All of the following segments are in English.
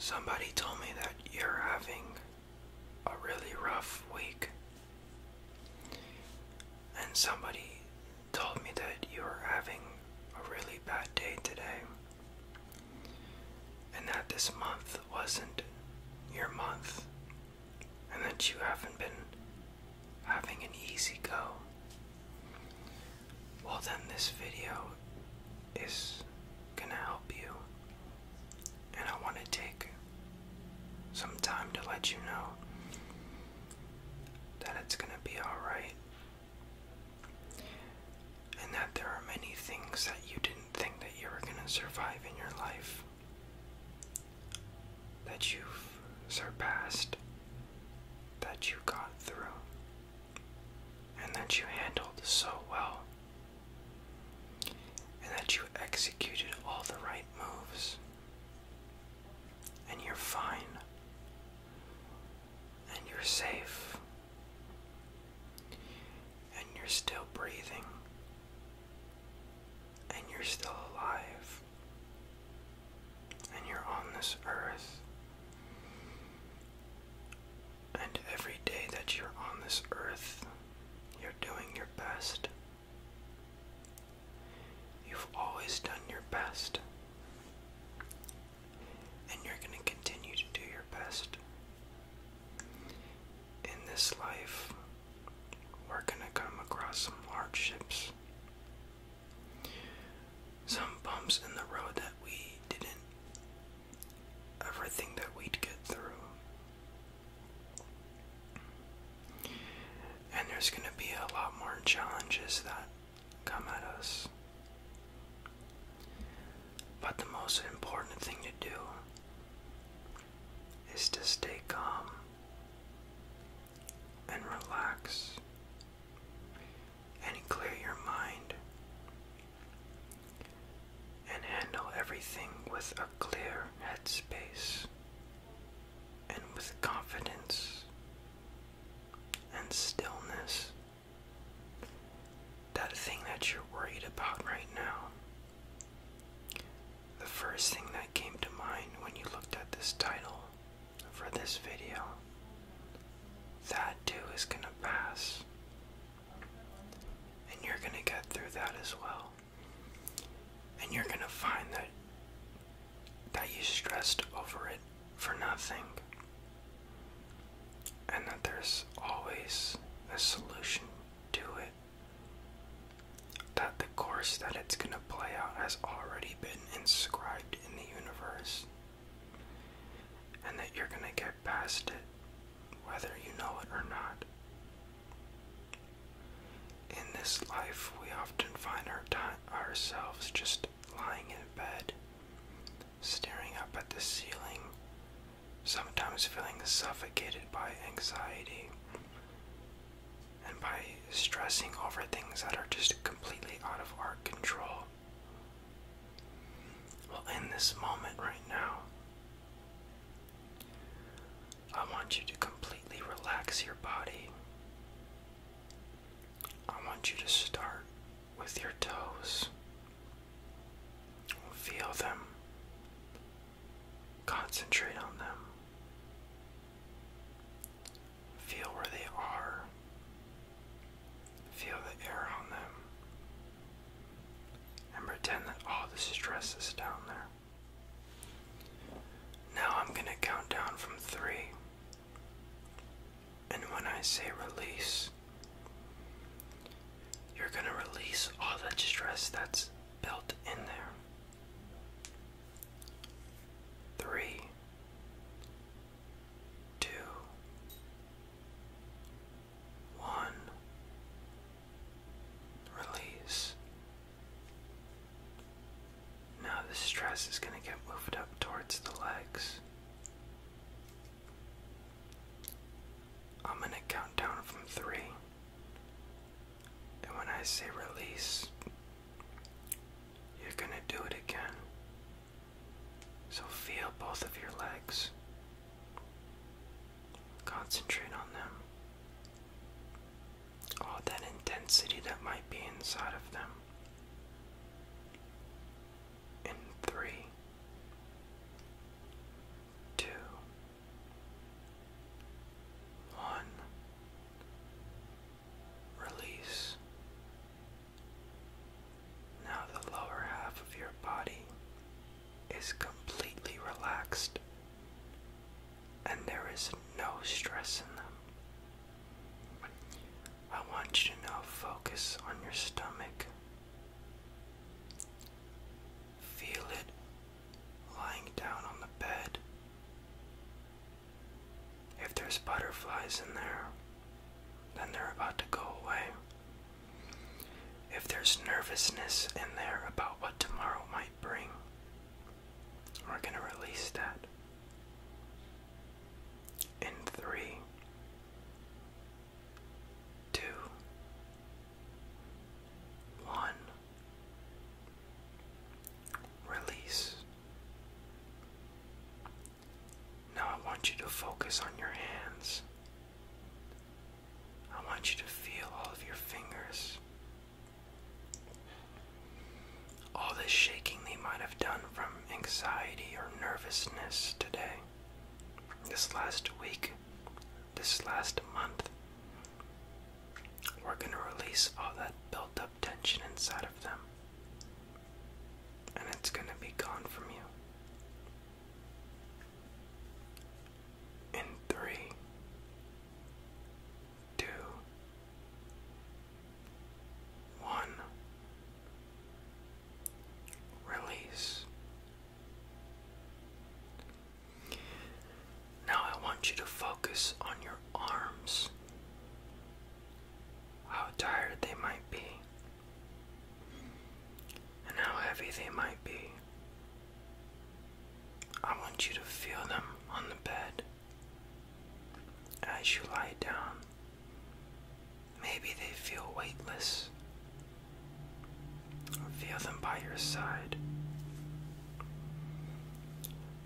Somebody told me that you're having a really rough week. And somebody told me that you are having a really bad day today. And that this month wasn't your month. And that you haven't been having an easy go well then this video is gonna help you. And I want to take some time to let you know that it's going to be alright. And that there are many things that you didn't think that you were going to survive in your life that you've surpassed, that you got through and that you handled so well, and that you executed all the right moves, and you're fine, and you're safe, and you're still breathing, and you're still alive and you're on this earth. And every day that you're on this earth, you're doing your best. You've always done your best. And you're going to continue to do your best. In this life, we're going to come across some large ships. Some bumps in the road that we didn't ever think that we'd get through. And there's going to be a lot more challenges that come at us. But the most important thing to do is to stay calm and relax and clear your mind and handle everything with a clear headspace and with confidence and stillness. That thing that you're worried about right now. The first thing that came to mind when you looked at this title for this video. That too is going to pass. And you're going to get through that as well. And you're going to find that that you stressed over it for nothing. And that there's always a solution to it. That the course that it's going to play out has already been inscribed in the universe and that you're going to get past it, whether you know it or not. In this life, we often find ourselves just lying in bed, staring up at the ceiling, sometimes feeling suffocated by anxiety and by stressing over things that are just completely out of our control. Well, in this moment right now, I want you to completely relax your body. I want you to start with your toes. Feel them. Concentrate on them. Feel where they are. Feel the air on them. And pretend that all oh, the stress is down there. Now I'm going to count down from three. And when I say release, you're going to release all that stress that's built in there. Three, two, one. Release. Now the stress is going to get moved up towards the legs. I'm going to count down from three. And when I say release, you're going to do it again. So feel both of your legs. Concentrate on them. All that intensity that might be inside of them. In three, two, one. Release. Now the lower half of your body is completely relaxed and there is no stress in them. I want you to now focus on your stomach. Feel it lying down on the bed. If there's butterflies in there, then they're about to go away. If there's nervousness in there about what tomorrow might bring, we're going to release that. In three, two, one. Release. Now I want you to focus on your hands. I want you to feel all of your fingers. All this shaking they might have done from anxiety or nervousness today, this last week, this last month. We're going to release all that built up tension inside of them. And it's going to be gone from you. In three, two, one, release. Now I want you to focus on your arms how tired they might be, and how heavy they might be. I want you to feel them on the bed as you lie down. Maybe they feel weightless. Feel them by your side.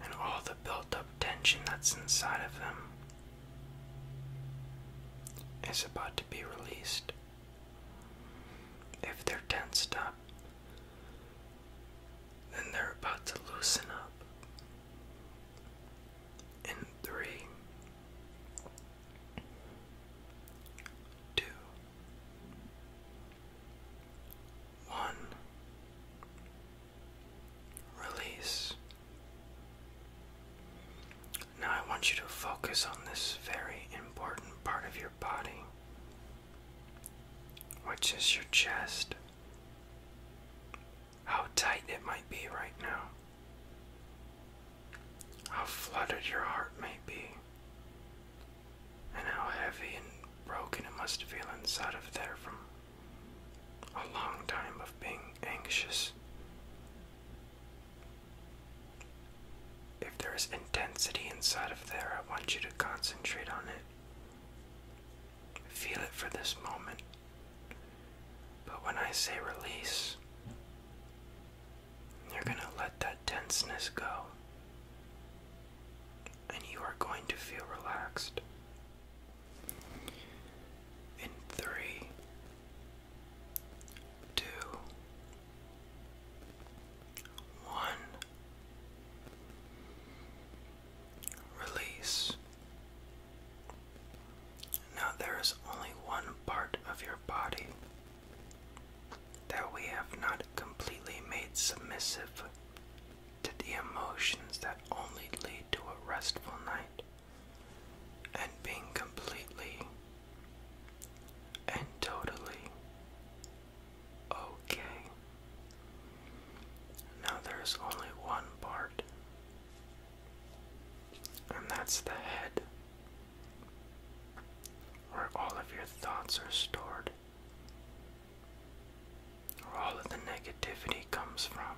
And all the built up tension that's inside of them is about to be released. If they're tensed up, then they're about to loosen up. In three, two, one. Release. Now I want you to focus on this very important part of your body, which is your chest. How tight it might be right now. How flooded your heart might be. And how heavy and broken it must feel inside of there from a long time of being anxious. If there is intensity inside of there, I want you to concentrate on it. Feel it for this moment. But when I say release, you're going to let that tenseness go. And you are going to feel relaxed in three, two, one. Release. Now there is only one part of your body that we have not completely made submissive to the emotions that only lead to a restful night and being completely and totally okay. Now there's only one part, and that's the head, where all of your thoughts are stored where all of the negativity comes from.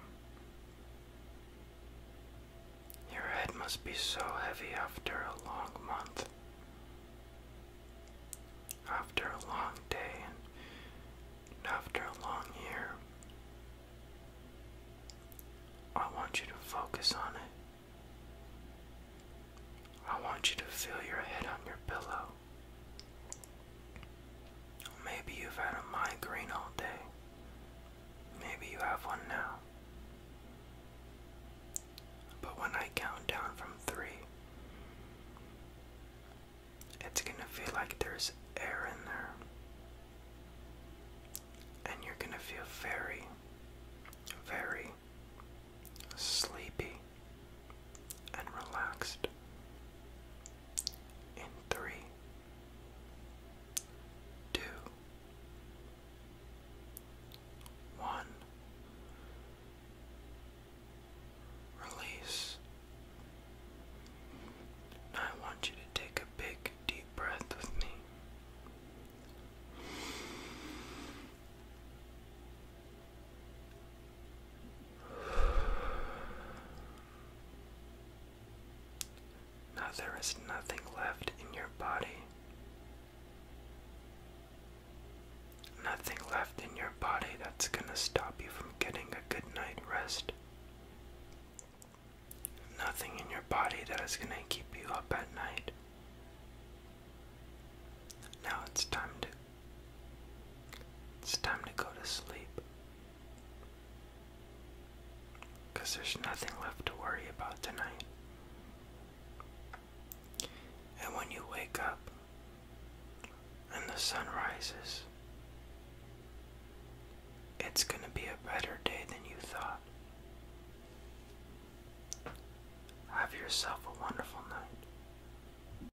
Your head must be so heavy after a long month, after a long day, and after a long year. I want you to focus on it. I want you to feel your head on your pillow. Maybe you've had a migraine all day. Maybe you have one now. But when I count down from three, it's gonna feel like there's air in there. And you're gonna feel very, very sleepy and relaxed. In three, two, one, release. I want you to take a big deep breath with me. Now there is nothing left in your body. Nothing left in your body that's going to stop you from getting a good night's rest. Nothing in your body that is going to keep you up at night. Now it's time to it's time to go to sleep. Because there's nothing left to worry about tonight. And when you wake up and the sun rises, it's going to be a better day than you thought. Have yourself a wonderful night.